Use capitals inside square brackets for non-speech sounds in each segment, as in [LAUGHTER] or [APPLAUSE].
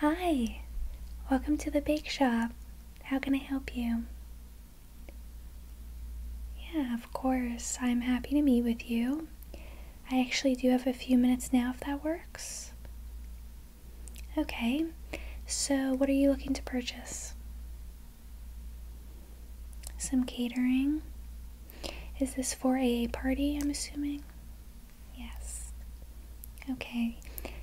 Hi, welcome to the bake shop. How can I help you? Yeah, of course. I'm happy to meet with you. I actually do have a few minutes now if that works. Okay, so what are you looking to purchase? Some catering. Is this for a party, I'm assuming? Yes. Okay.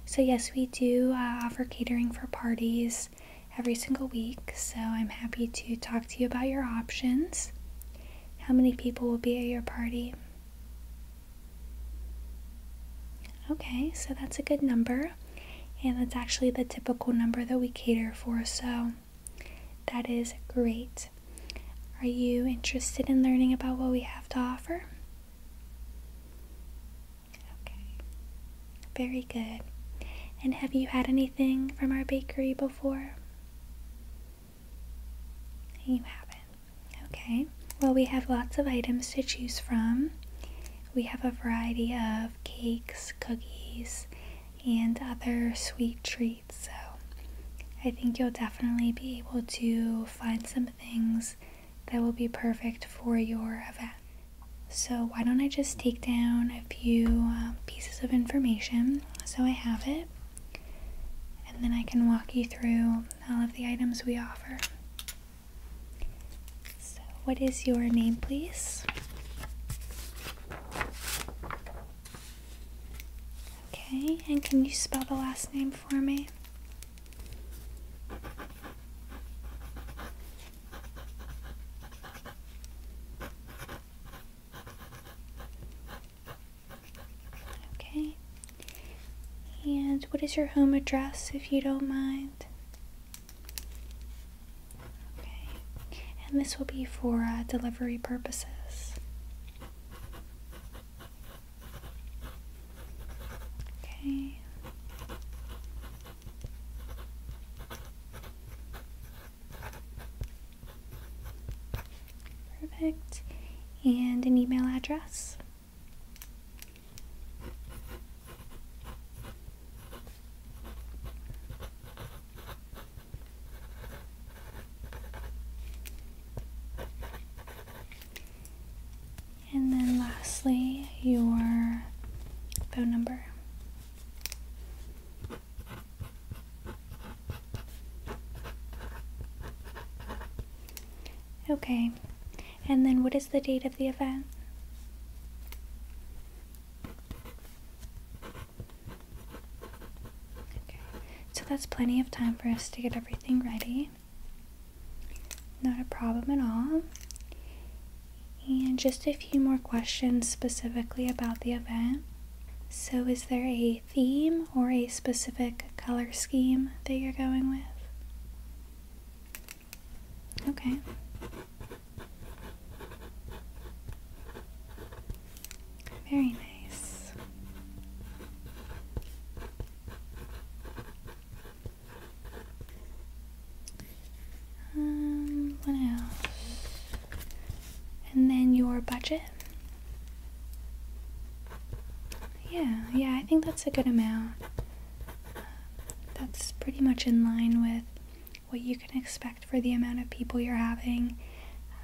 So, yes, we do uh, offer catering for parties every single week. So, I'm happy to talk to you about your options. How many people will be at your party? Okay, so that's a good number. And that's actually the typical number that we cater for. So, that is great. Are you interested in learning about what we have to offer? Okay, very good. And have you had anything from our bakery before? You haven't. Okay, well, we have lots of items to choose from. We have a variety of cakes, cookies, and other sweet treats. So I think you'll definitely be able to find some things that will be perfect for your event. So why don't I just take down a few uh, pieces of information so I have it and then I can walk you through all of the items we offer. So what is your name please? Okay, and can you spell the last name for me? Okay. And what is your home address if you don't mind? Okay, and this will be for uh, delivery purposes. Okay. Perfect. And an email address. And then lastly, your phone number. Okay. And then what is the date of the event? Okay, so that's plenty of time for us to get everything ready. Not a problem at all. And just a few more questions specifically about the event. So, is there a theme or a specific color scheme that you're going with? Okay. Very nice. Um, what else? And then your budget? Yeah, yeah, I think that's a good amount. that's pretty much in line with what you can expect for the amount of people you're having.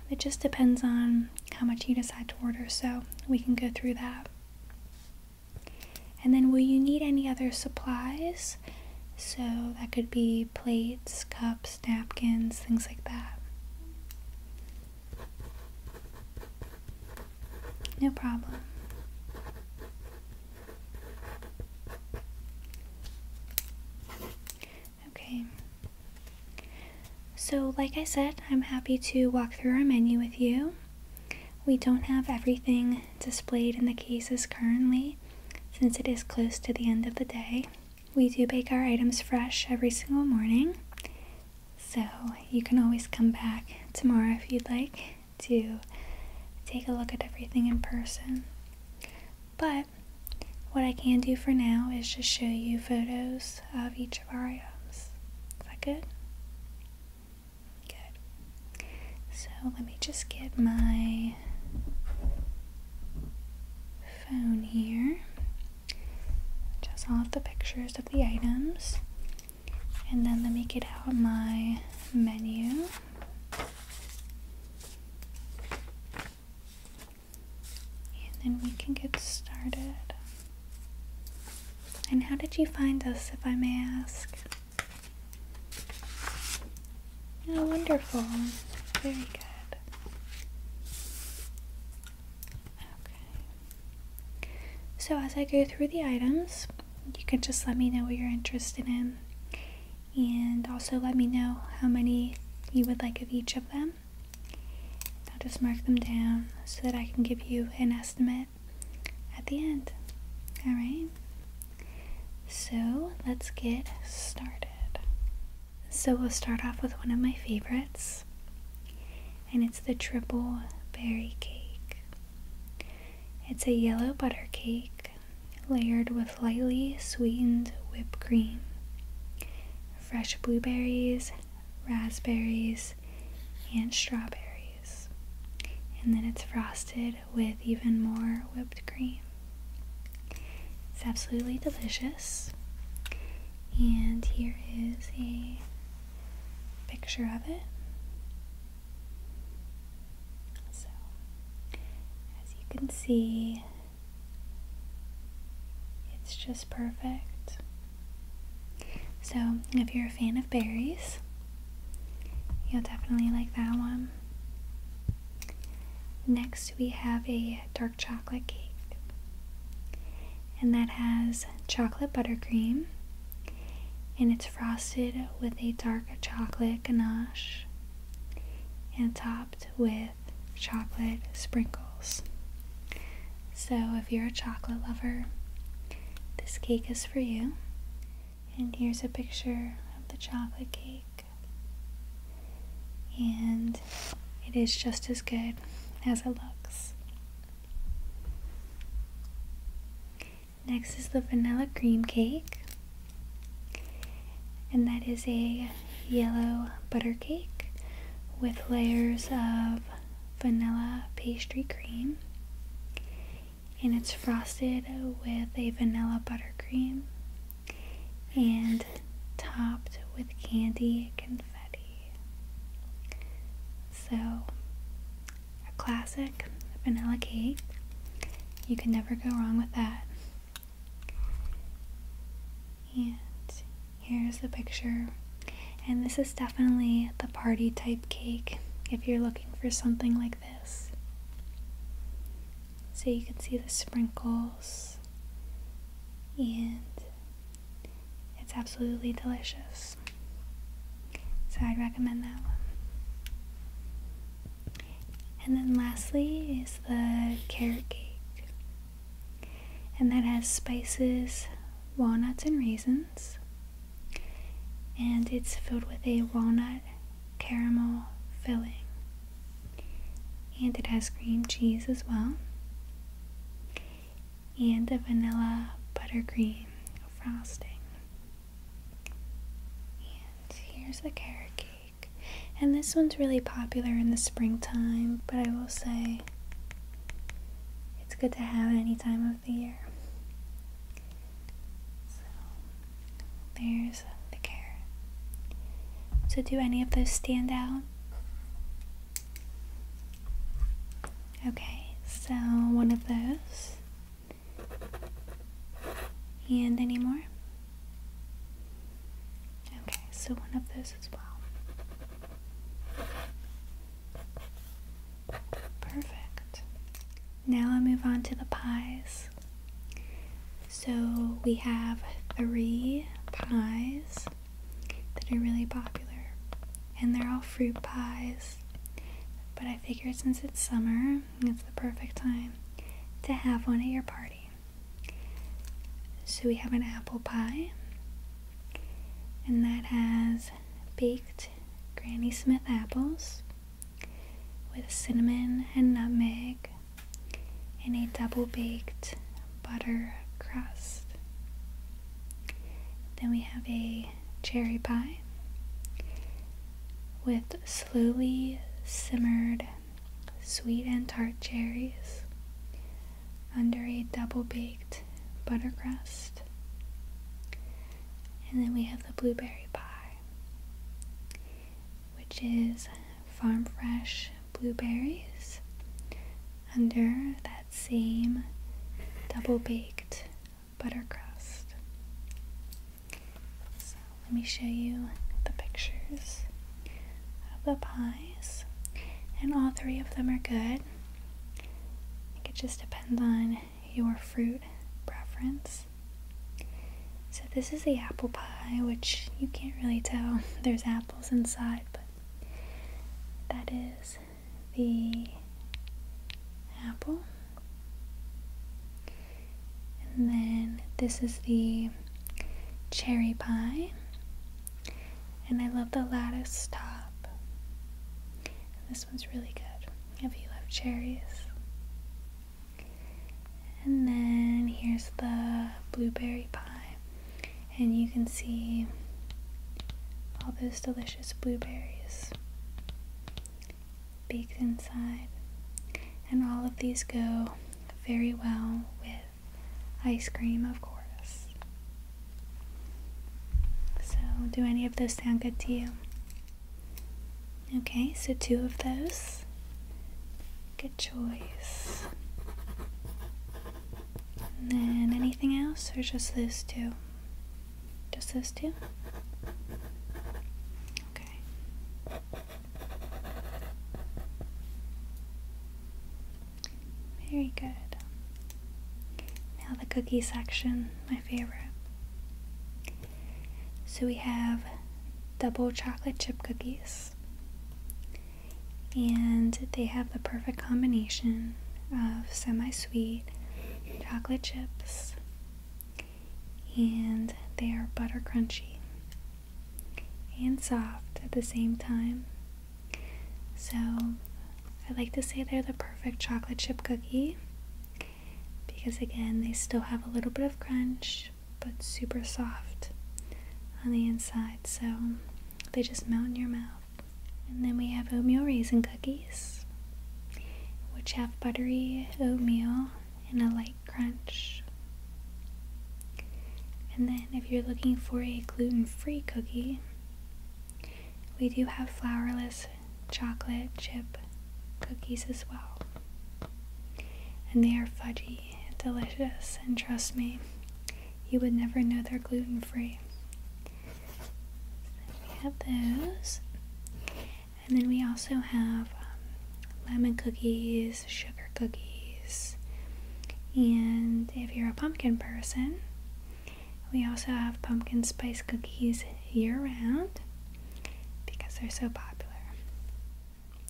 it just depends on how much you decide to order, so we can go through that. And then, will you need any other supplies? So, that could be plates, cups, napkins, things like that. No problem. Okay. So, like I said, I'm happy to walk through our menu with you. We don't have everything displayed in the cases currently since it is close to the end of the day. We do bake our items fresh every single morning, so you can always come back tomorrow if you'd like to take a look at everything in person. But what I can do for now is just show you photos of each of our items. Is that good? Good. So let me just get my phone here. Just all of the pictures of the items. And then let me get out my menu. And then we can get started. And how did you find us, if I may ask? Oh, wonderful. Very good. Okay. So, as I go through the items, you can just let me know what you're interested in and also let me know how many you would like of each of them. I'll just mark them down so that I can give you an estimate at the end. Alright? So let's get started. So we'll start off with one of my favorites, and it's the triple berry cake. It's a yellow butter cake layered with lightly sweetened whipped cream, fresh blueberries, raspberries, and strawberries. And then it's frosted with even more whipped cream. It's absolutely delicious. And here is a picture of it. So, as you can see, it's just perfect. So, if you're a fan of berries, you'll definitely like that one. Next, we have a dark chocolate cake, and that has chocolate buttercream, and it's frosted with a dark chocolate ganache and topped with chocolate sprinkles. So, if you're a chocolate lover, this cake is for you. And here's a picture of the chocolate cake. And it is just as good as it looks. Next is the vanilla cream cake. And that is a yellow butter cake with layers of vanilla pastry cream. And it's frosted with a vanilla buttercream and topped with candy confetti. So a classic vanilla cake. You can never go wrong with that. And here's the picture. And this is definitely the party type cake if you're looking for something like this. So you can see the sprinkles and it's absolutely delicious. So I'd recommend that one. And then lastly is the carrot cake. And that has spices, walnuts, and raisins. And it's filled with a walnut caramel filling. And it has cream cheese as well and the vanilla buttercream frosting. And here's the carrot cake. And this one's really popular in the springtime, but I will say it's good to have any time of the year. So there's the carrot. So do any of those stand out? Okay, so one of those. And any more? Okay, so one of those as well. Perfect. Now I move on to the pies. So we have three pies that are really popular, and they're all fruit pies but I figured since it's summer, it's the perfect time to have one at your party. So we have an apple pie, and that has baked Granny Smith apples with cinnamon and nutmeg in a double baked butter crust. Then we have a cherry pie with slowly simmered sweet and tart cherries under a double baked butter crust. And then we have the blueberry pie, which is farm fresh blueberries under that same double baked butter crust. So let me show you the pictures of the pies, and all three of them are good. I think it just depends on your fruit preference. So this is the apple pie, which you can't really tell [LAUGHS] there's apples inside, but that is the apple. And then this is the cherry pie. And I love the lattice top. And this one's really good if you love cherries. And then here's the blueberry pie and you can see all those delicious blueberries baked inside. And all of these go very well with ice cream, of course. So, do any of those sound good to you? Okay, so two of those. Good choice. And then anything else, or just this two? Just this two? Okay. Very good. Now the cookie section, my favorite. So we have double chocolate chip cookies and they have the perfect combination of semi sweet chocolate chips and they are butter crunchy and soft at the same time. So I like to say they're the perfect chocolate chip cookie because, again, they still have a little bit of crunch but super soft on the inside. So they just melt in your mouth. And then we have oatmeal raisin cookies, which have buttery oatmeal and a light crunch. And then if you're looking for a gluten-free cookie, we do have flourless chocolate chip cookies as well. And they are fudgy and delicious, and trust me, you would never know they're gluten free. we have those. And then we also have um, lemon cookies, sugar cookies, and if you're a pumpkin person, we also have pumpkin spice cookies year round because they're so popular.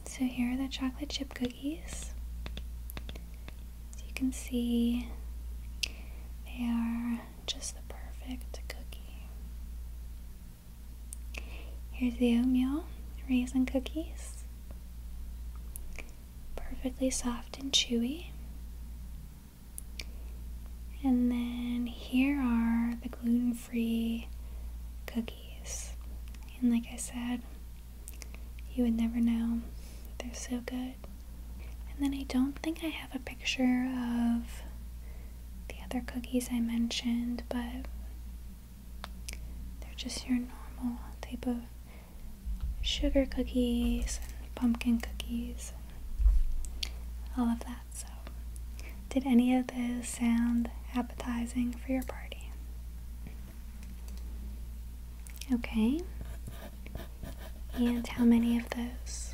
So here are the chocolate chip cookies doggies. As you can see, they are just the perfect cookie. Here's the oatmeal raisin cookies. Perfectly soft and chewy. And then here are the gluten free cookies. And like I said, you would never know. They're so good. And then I don't think I have a picture of the other cookies I mentioned, but they're just your normal type of sugar cookies and pumpkin cookies and all of that. So, did any of those sound appetizing for your party? Okay. And how many of those?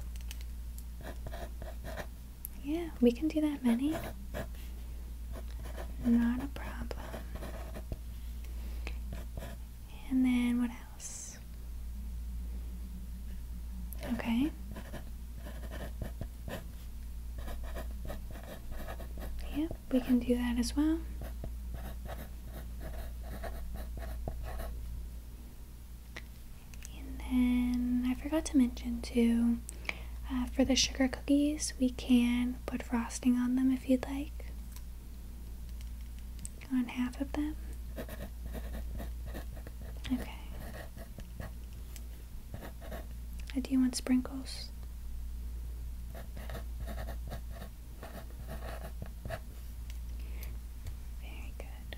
Yeah, we can do that many. Not a problem. And then what else? Okay. Yep, we can do that as well. And then I forgot to mention too, uh, for the sugar cookies, we can put frosting on them if you'd like, on half of them. Okay. I uh, do want sprinkles. Very good.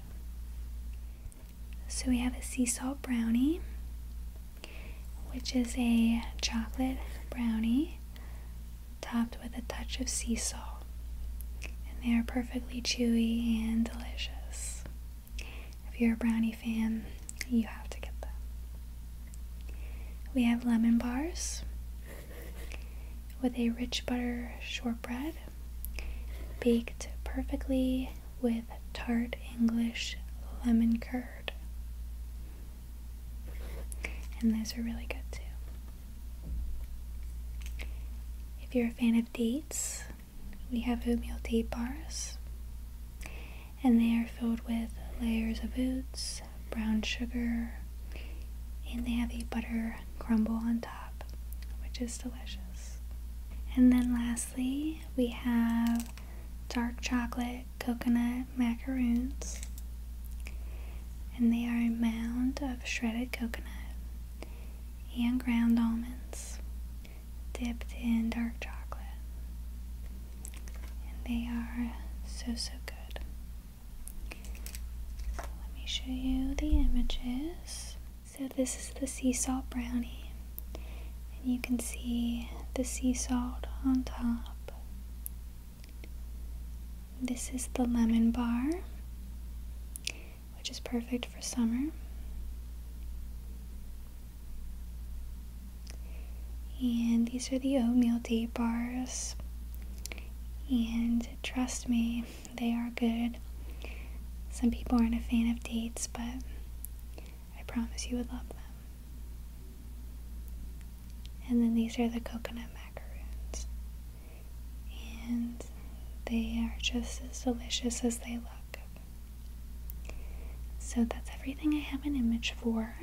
So we have a sea salt brownie, which is a chocolate brownie topped with a touch of sea salt. And they are perfectly chewy and delicious. If you're a brownie fan, you have to get them. We have lemon bars with a rich butter shortbread, baked perfectly with tart English lemon curd. And those are really good too. If you're a fan of dates, we have oatmeal date bars and they are filled with layers of oats, brown sugar, and they have a butter crumble on top, which is delicious. And then lastly, we have dark chocolate coconut macaroons, and they are a mound of shredded coconut and ground almonds dipped in dark chocolate and they are so so good. let me show you the images. So this is the sea salt brownie, and you can see the sea salt on top. This is the lemon bar, which is perfect for summer. And these are the oatmeal date bars. And trust me, they are good. Some people aren't a fan of dates, but I promise you would love them. And then these are the coconut macaroons. And they are just as delicious as they look. So that's everything I have an image for.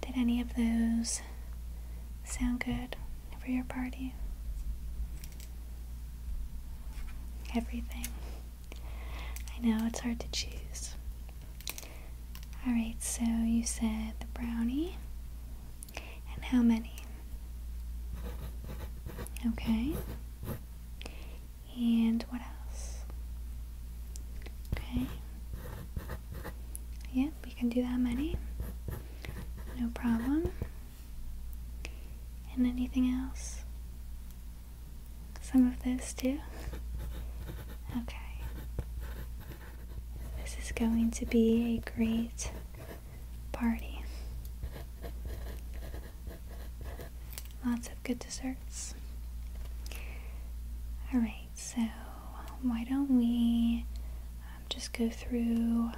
Did any of those sound good for your party? Everything. I know it's hard to choose. Alright, so you said the brownie. And how many? Okay. And what else? Okay. Yep, we can do that many. No problem. And anything else? Some of this too? Okay. This is going to be a great party. Lots of good desserts. Alright, so why don't we um, just go through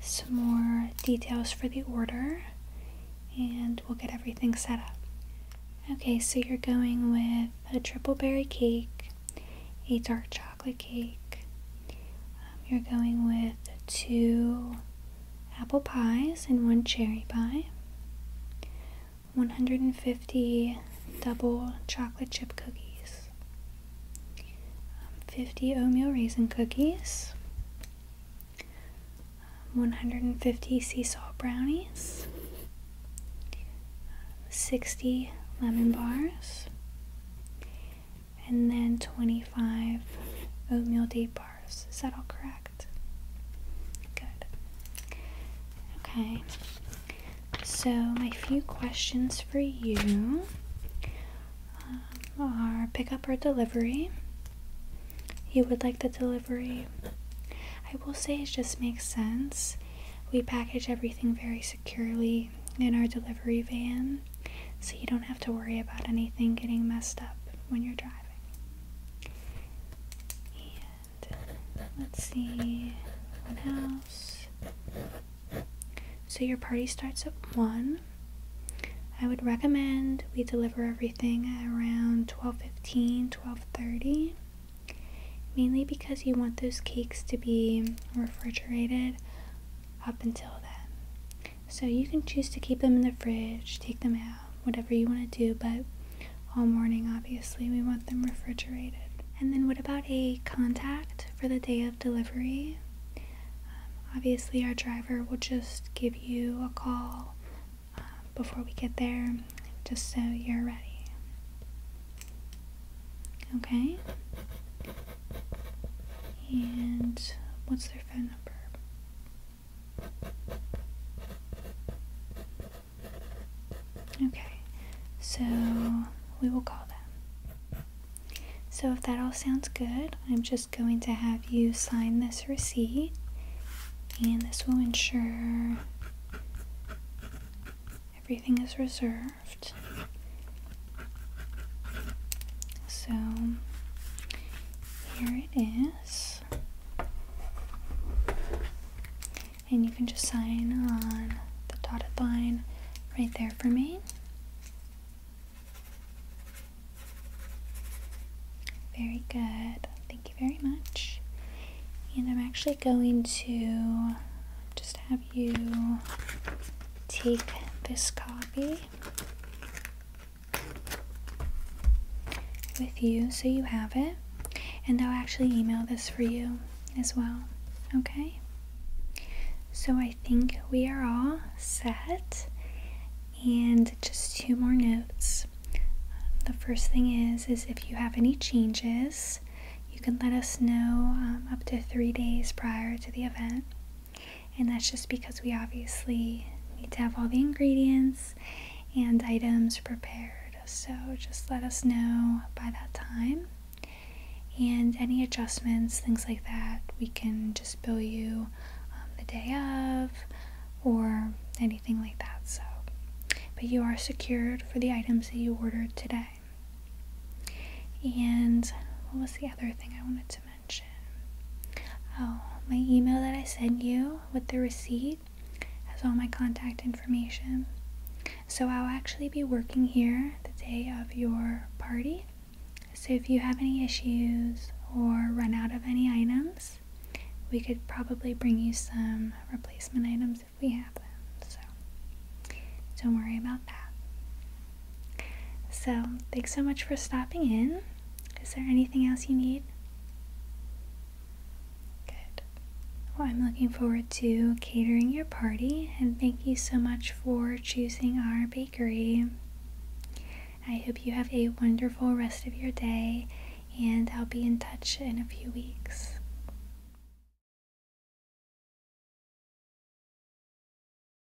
some more details for the order and we'll get everything set up. Okay, so you're going with a triple berry cake, a dark chocolate cake. Um, you're going with two apple pies and one cherry pie, 150 double chocolate chip cookies, um, 50 oatmeal raisin cookies, um, 150 sea salt brownies, um, 60 lemon bars, and then 25 oatmeal date is that all correct? Good. Okay. So, my few questions for you um, are pickup or delivery. You would like the delivery. I will say it just makes sense. We package everything very securely in our delivery van, so you don't have to worry about anything getting messed up when you're driving let's see what else. So your party starts at 1. I would recommend we deliver everything around 12:15, 12:30. Mainly because you want those cakes to be refrigerated up until then. So you can choose to keep them in the fridge, take them out, whatever you want to do, but all morning, obviously, we want them refrigerated. And then, what about a contact for the day of delivery? Um, obviously, our driver will just give you a call um, before we get there, just so you're ready. Okay? And what's their phone number? Okay, so we will call them. So if that all sounds good, I'm just going to have you sign this receipt, and this will ensure everything is reserved. So here it is. And you can just sign on the dotted line right there for me. Very good. Thank you very much. And I'm actually going to just have you take this copy with you so you have it. And I'll actually email this for you as well. Okay? So I think we are all set. And just two more notes. The first thing is is if you have any changes, you can let us know um, up to three days prior to the event. And that's just because we obviously need to have all the ingredients and items prepared. So just let us know by that time. And any adjustments, things like that, we can just bill you um, the day of or anything like that. So, but you are secured for the items that you ordered today. And what was the other thing I wanted to Oh, my email that I sent you with the receipt has all my contact information. So I'll actually be working here the day of your party. So if you have any issues or run out of any items, we could probably bring you some replacement items if we have them. So don't worry about that. So, thanks so much for stopping in. Is there anything else you need? Good. Well, I'm looking forward to catering your party, and thank you so much for choosing our bakery. I hope you have a wonderful rest of your day, and I'll be in touch in a few weeks.